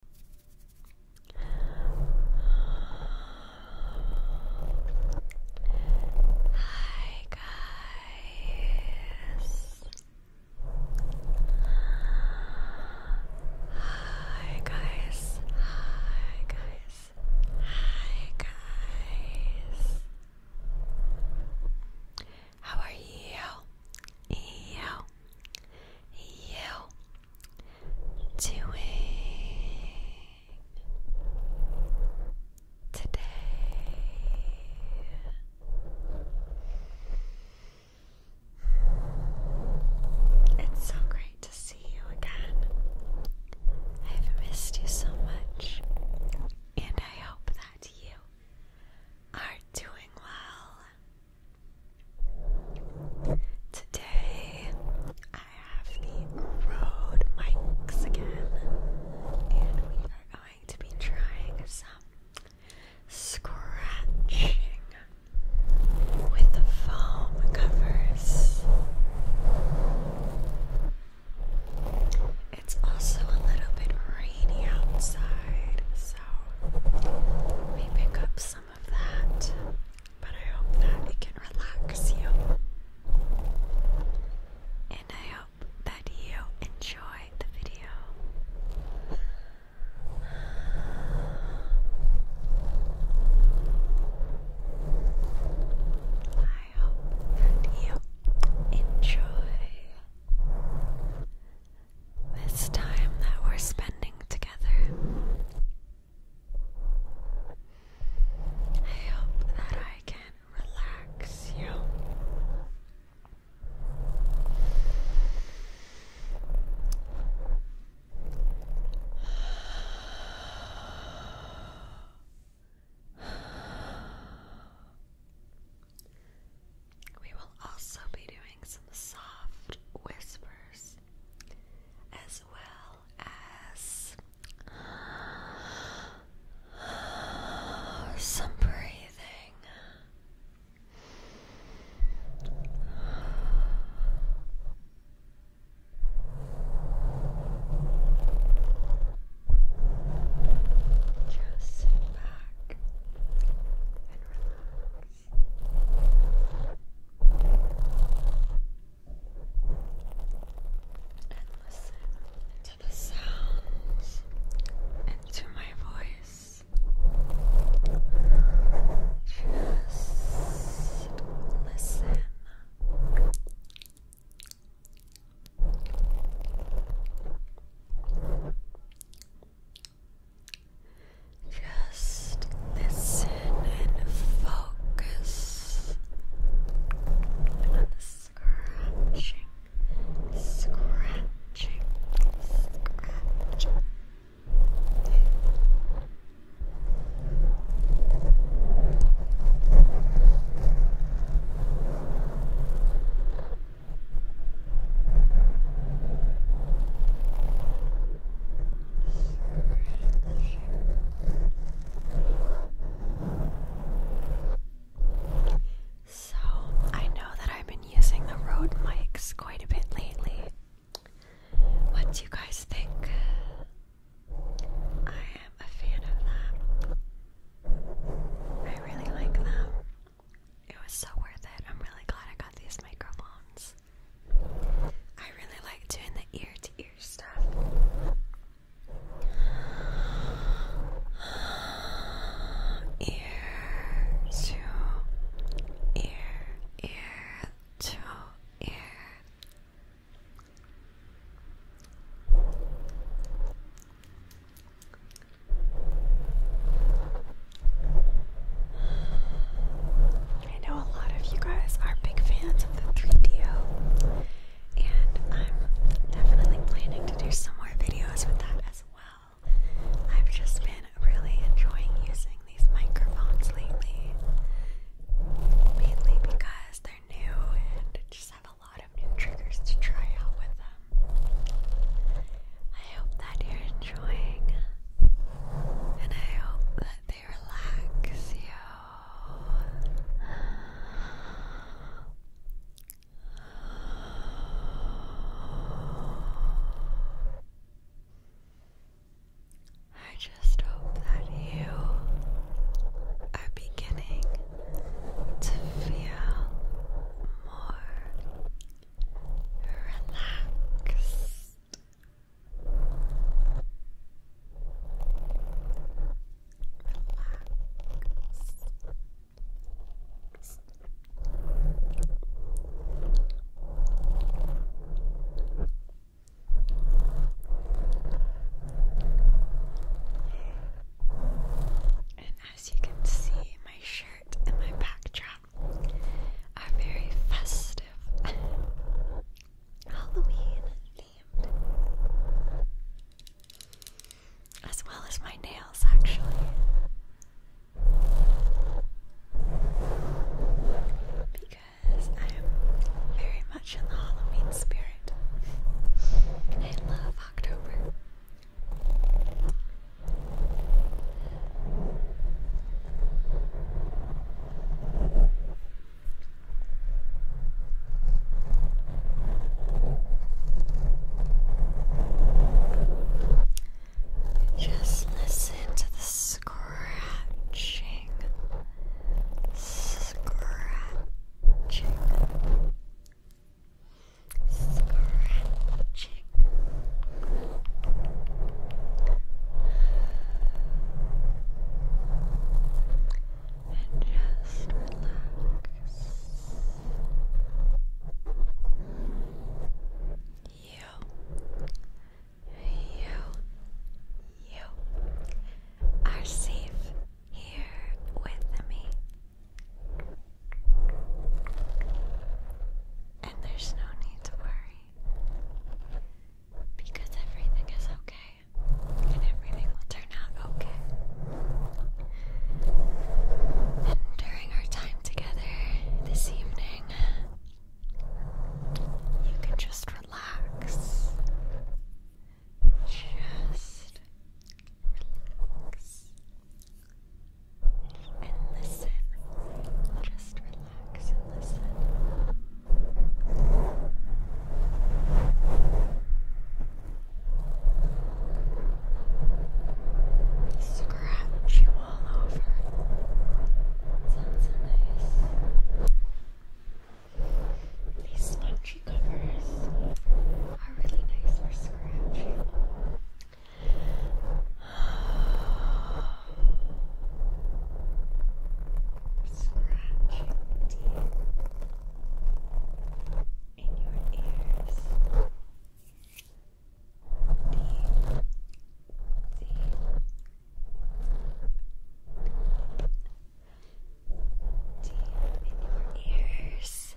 Hi guys. Hi guys. Hi guys. Hi guys. How are you? You. You doing today? It's so great to see you again. I've missed you so much, and I hope that you are doing well. Today I have the road mics again, and we are going to be trying some scratching with the foam covers. It's also a little bit rainy outside, so we pick up some but I hope that it can relax you. And I hope that you enjoy the video. I hope that you enjoy this time that we're spending together. I hope that I can relax you. We will also be doing some soft whispers as well as some breathing. Just sit back and relax. And listen to the sounds and my voice. Just listen. Just listen and focus scratching, scratching, scratching. So, I know that I've been using the Rode mics quite a bit lately. What do you guys think? I am a fan of them. I really like them. It was so worth it. I'm really glad I got these microphones. I really like doing the ear to ear stuff. ear to ear, ear to ear. I know a lot of you guys are big fans of the 3 d and I'm definitely planning to do some more videos with that as well. I've just been really enjoying using these microphones lately, mainly because they're new and just have a lot of new triggers to try out with them. I hope that you're enjoying, and I hope that they relax you. I just hope that you are beginning to feel more Relax. Relaxed. And as you can see, my shirt and my backdrop are very festive, Halloween themed, as well as my nails, actually. Because I am very much in the Halloween spirit. I love October. Just listen to the scratching, scratching, scratching. And just relax. You, you, you are safe here with me. And there's no need to worry because everything is okay and everything will turn out okay. And during our time together this evening, you can just relax. Just relax and listen. Just relax and listen. Scratch you all over. Sounds nice. These spongy covers are really nice for scratching. Scratching deep in your ears. Deep, deep. Deep in your ears.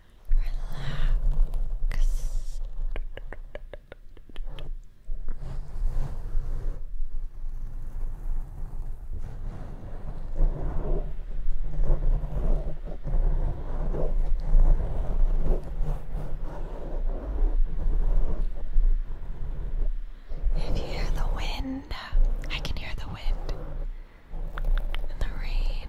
relax. If you hear the wind, I can hear the wind and the rain.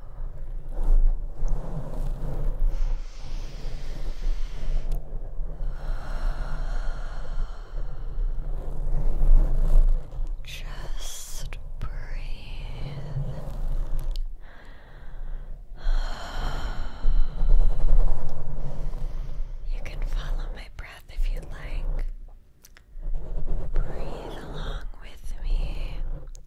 Just breathe. You can follow my breath if you like. Breathe along with me.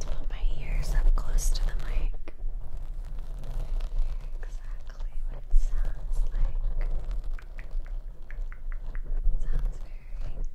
to put my ears up close to the mic. Exactly what it sounds like. sounds very nice.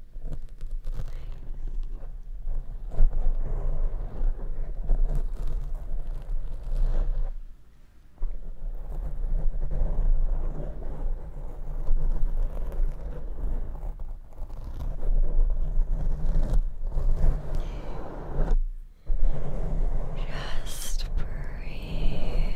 Just breathe.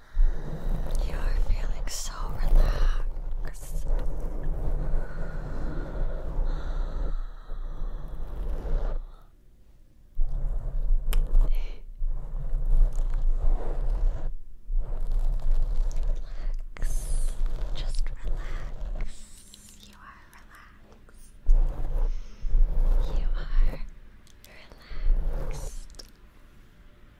You are feeling so relaxed. Relax. Just relax. You are relaxed. You are relaxed.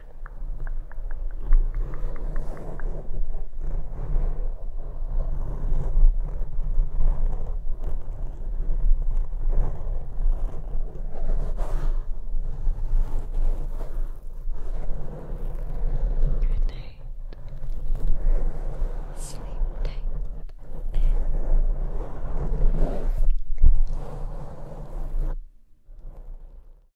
Good night. Sleep tight.